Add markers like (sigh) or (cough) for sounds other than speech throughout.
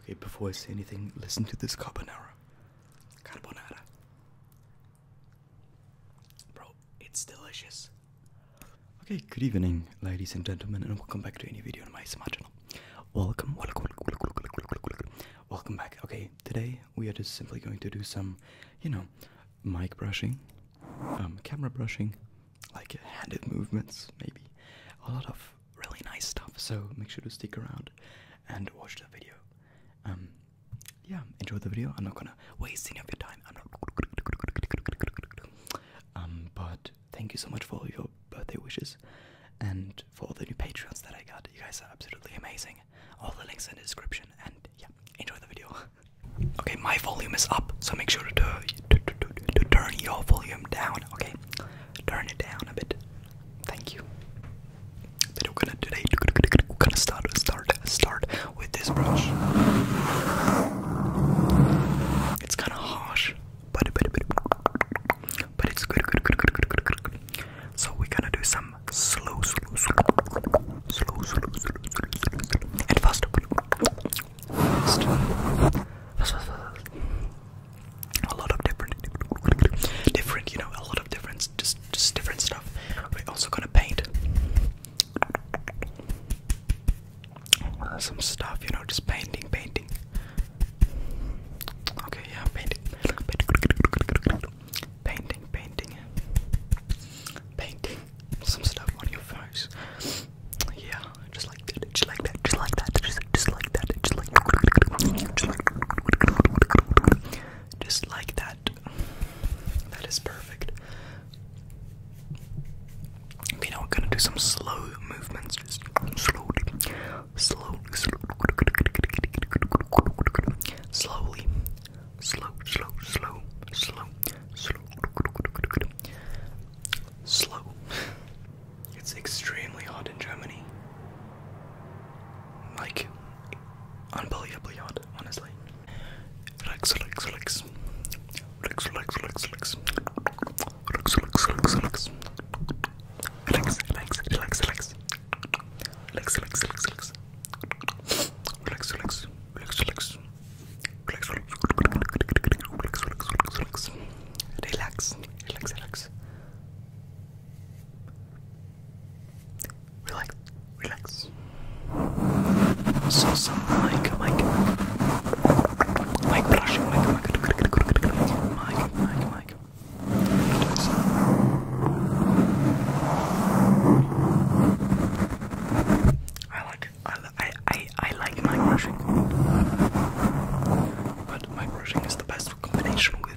Okay, before I say anything, listen to this carbonara. Carbonara. Bro, it's delicious. Okay, good evening, ladies and gentlemen, and welcome back to any video on my smart channel. Welcome, welcome, welcome, welcome, welcome back. Okay, today we are just simply going to do some, you know, mic brushing, um, camera brushing, like handed movements, maybe a lot of really nice stuff. So make sure to stick around and watch the video. Um, yeah, enjoy the video. I'm not gonna waste any of your time. I'm not. Um, but thank you so much for all your birthday wishes and for all the new patrons that I got. You guys are absolutely amazing. All the links in the description. And yeah, enjoy the video. Okay, my volume is up, so make sure to, to turn your volume down. Okay, turn it down a bit. Thank you. But we're gonna today we're gonna start start start with this brush. It's kinda harsh, but it's good So we're gonna do some slow slow slow slow slow and fast a lot of different, different, you know, a lot of different, just, just different stuff. also gonna paint some stuff, you know, just painting, painting. Okay, yeah, painting, painting, painting, painting some stuff on your face. Yeah, just like that, just like that, just like that, just, just like that, just like just like just like that. That is perfect. Okay, now we're gonna do some slow movements, just slowly, slowly, slowly, slow, slow, slow, slow, slow, slow, slow, it's extremely hot in Germany. Like, unbelievably hot, honestly. Relax, relax, relax. Relax, relax, relax, relax. Relax, relax, relax, relax. Relax, relax, relax, relax. Relax, relax, relax, relax. Relax, relax, relax, relax. Relax, relax, relax, relax, relax. Relax, relax, relax, relax. Relax, relax, relax, relax. Relax, relax. So something like, like, like brushing, like, like, like, like, like, like. I like, I, I, I, I like mic brushing, but mic brushing is the best combination with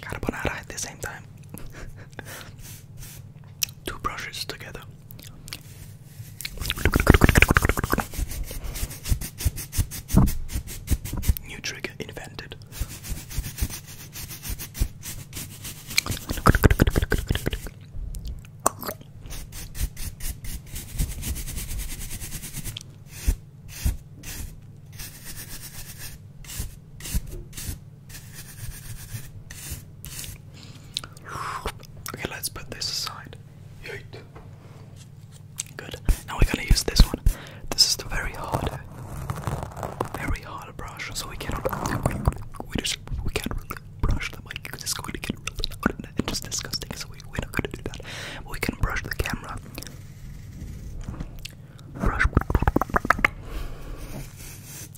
carbonara at the same time. (laughs) Two brushes together. New trigger invented. Okay, let's put this aside. Good. Now we're gonna use this one. This is the very hard, very hard brush, so we cannot. We just we can't really brush the mic it's going to get really loud and just disgusting. So we, are not gonna do that. we can brush the camera.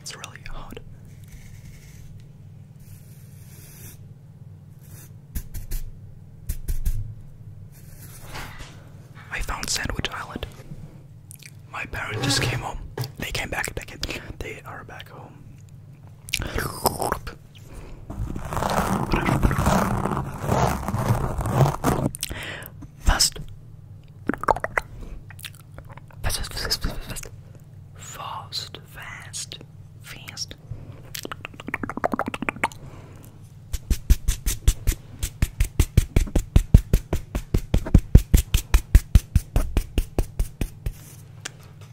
It's really hot. I found Sandwich Island. My parents just came home. They came back. They, they are back home fast. Fast, fast, fast, fast, fast. Fast,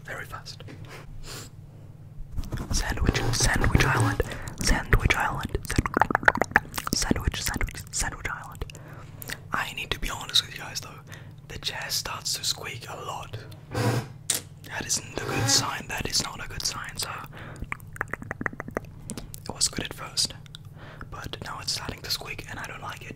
Very fast. Sandwich, Sandwich Island, Sandwich Island, Sandwich, Sandwich, Sandwich Island. I need to be honest with you guys though, the chair starts to squeak a lot. That isn't a good sign, that is not a good sign, sir. it was good at first, but now it's starting to squeak and I don't like it.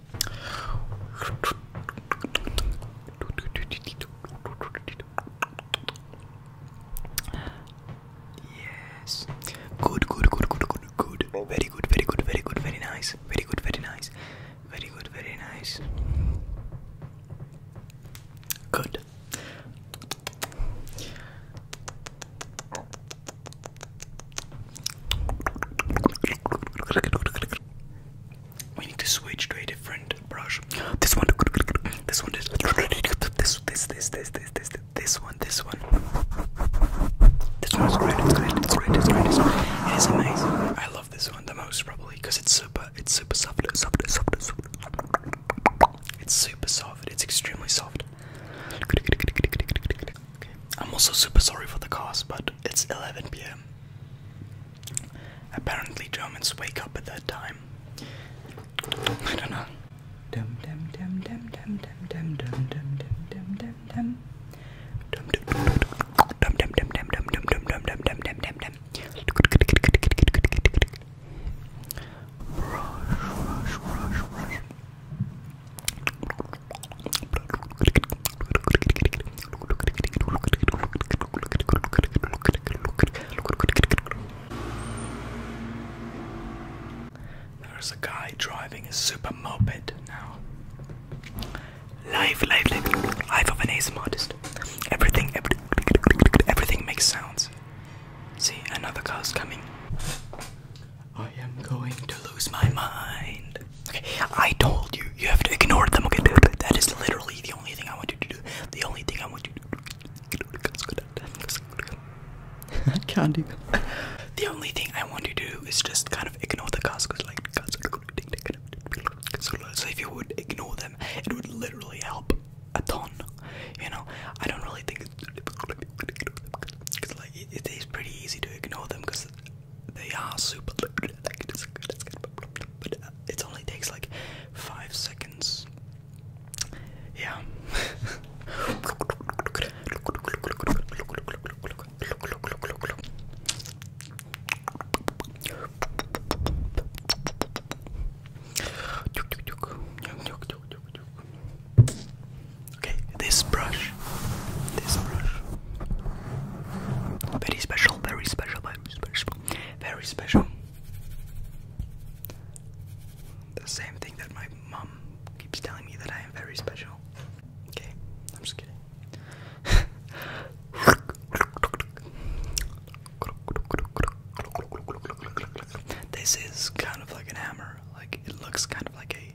Yes. Good, good, good, good, good, good. Very good, very good, very good, very nice. Very good, very nice. Very good, very nice. Good. We need to switch to a different brush. This one, this one, this, this, this, this, this, this, this, this one, this one. This one is great. It's great. It's great. It's great. It's great. It is amazing. I love this one the most probably because it's super. It's super soft. Soft. Soft. Soft. It's super soft. It's extremely soft. I'm also super sorry for the cost, but it's 11 p.m. Apparently, Germans wake up at that time. I don't know. There's a guy driving a super moped now. Life, life, life, of an ace modest. Everything, every, everything makes sounds. See, another car's coming. I am going to lose my mind. Okay, I told you, you have to ignore them. Okay, that is literally the only thing I want you to do. The only thing I want you to do. (laughs) can't even. The only thing I want you to do is just kind of ignore the Costco's like. So if you would ignore them, it would literally help a ton. You know, I don't really think it's, it's like it is pretty easy to ignore them because they are super like it's good, it's but uh, it only takes like five seconds. Yeah. Okay, this brush very special, very special, very special. Very special. The same thing that my mom keeps telling me that I am very special. Okay, I'm just kidding. (laughs) this is kind of like an hammer. Like it looks kind of like a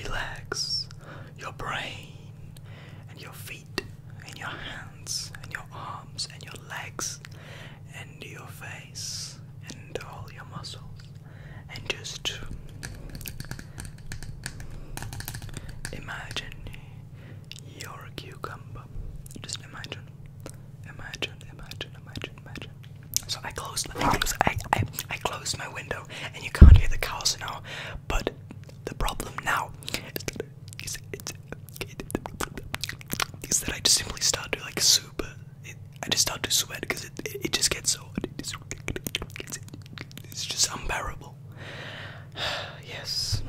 Relax, your brain and your feet and your hands and your arms and your legs and your face and all your muscles and just imagine you're a cucumber. Just imagine. Imagine, imagine, imagine, imagine. So I closed I closed, I, I, I closed my window and you can't hear the cows now. But the problem now is, it, it, is that I just simply start to like super it, I just start to sweat because it, it, it just gets so it's, it's just unbearable. (sighs) yes.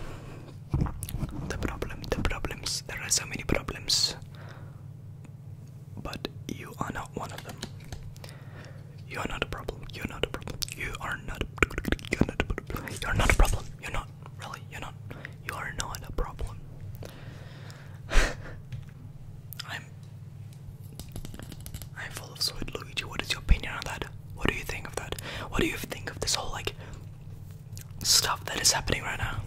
The problem, the problems. There are so many problems. But you are not one of them. You are not a problem. You're not a problem. You are not. You're not a problem. You're not Really, you're not. You are not a problem. (sighs) I'm. I'm full of sweet Luigi. What is your opinion on that? What do you think of that? What do you think of this whole like stuff that is happening right now?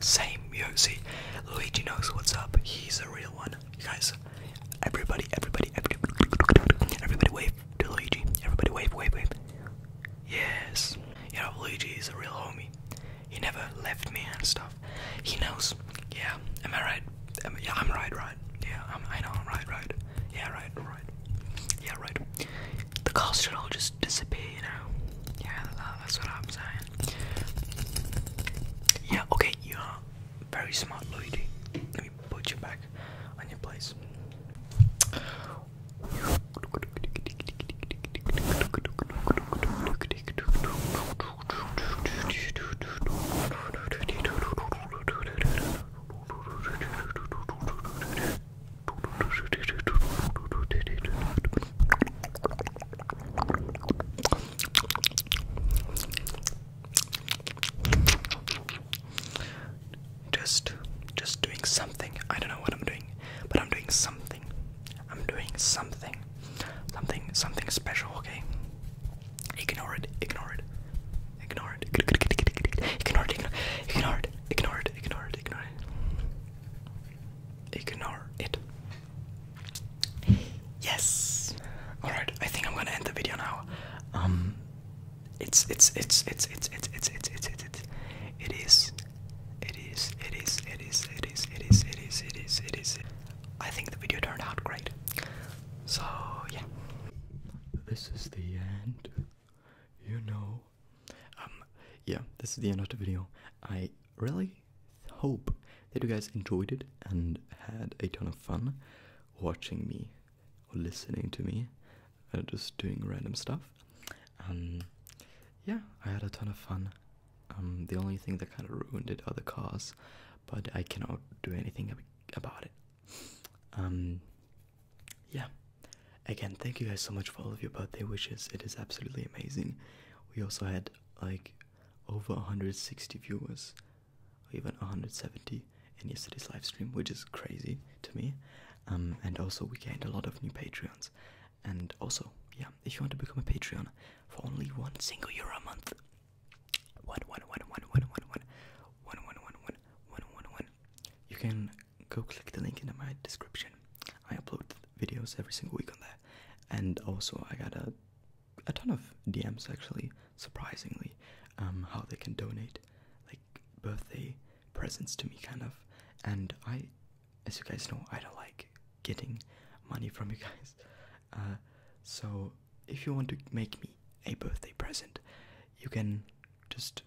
Same, you see, Luigi knows what's up. He's a real one, you guys. Everybody, everybody, everybody, everybody, wave to Luigi. Everybody, wave, wave, wave. Yes, yeah, know Luigi is a real homie. He never left me and stuff. He knows. Yeah, am I right? Um, yeah, I'm right, right. Yeah, I'm, I know, I'm right, right. Yeah, right, right. Yeah, right. The cost should all just disappear, you know? Yeah, that's what I'm saying. Yeah, okay, you are very smart, lady. Let me put you back on just just doing something. I don't know what I'm doing, but I'm doing something. I'm doing something. Something something special, okay? Ignore it, ignore it. Ignore it. Ignore it. Ignore it. Ignore it. Ignore it. Ignore it. Ignore it. Yes. All right. I think I'm gonna end the video now. Um, it's it's it's it's it's it's it's it's it's it's it is. It is, it is, it is, it is, it is, it is, it is, it is. I think the video turned out great. So, yeah this is the end. You know. Um, yeah, this is the end of the video. I really hope that you guys enjoyed it and had a ton of fun watching me or listening to me or uh, just doing random stuff. Um, yeah, I had a ton of fun. Um, the only thing that kind of ruined it are the cars, but I cannot do anything about it. Um, yeah again thank you guys so much for all of your birthday wishes it is absolutely amazing we also had like over 160 viewers or even 170 in yesterday's live stream which is crazy to me um, and also we gained a lot of new patreons and also yeah if you want to become a patreon for only one single euro a month one one one one one one one one one one one one one one. You can go click the link in my description. I upload videos every single week on there, and also I got a a ton of DMs actually, surprisingly, um, how they can donate like birthday presents to me, kind of. And I, as you guys know, I don't like getting money from you guys. (laughs) Uh, so if you want to make me a birthday present, you can just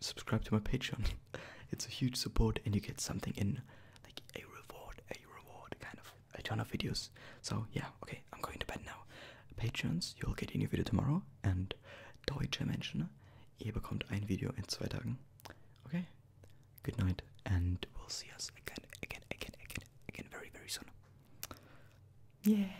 subscribe to my Patreon. (laughs) it's a huge support, and you get something in like a reward, a reward kind of a ton of videos. So yeah, okay, I'm going to bed now. Patrons, you'll get a new video tomorrow, and Deutsche Menschen, ihr bekommt ein Video in zwei Tagen. Okay, good night, and we'll see us again, again, again, again, again, very, very soon. Yeah.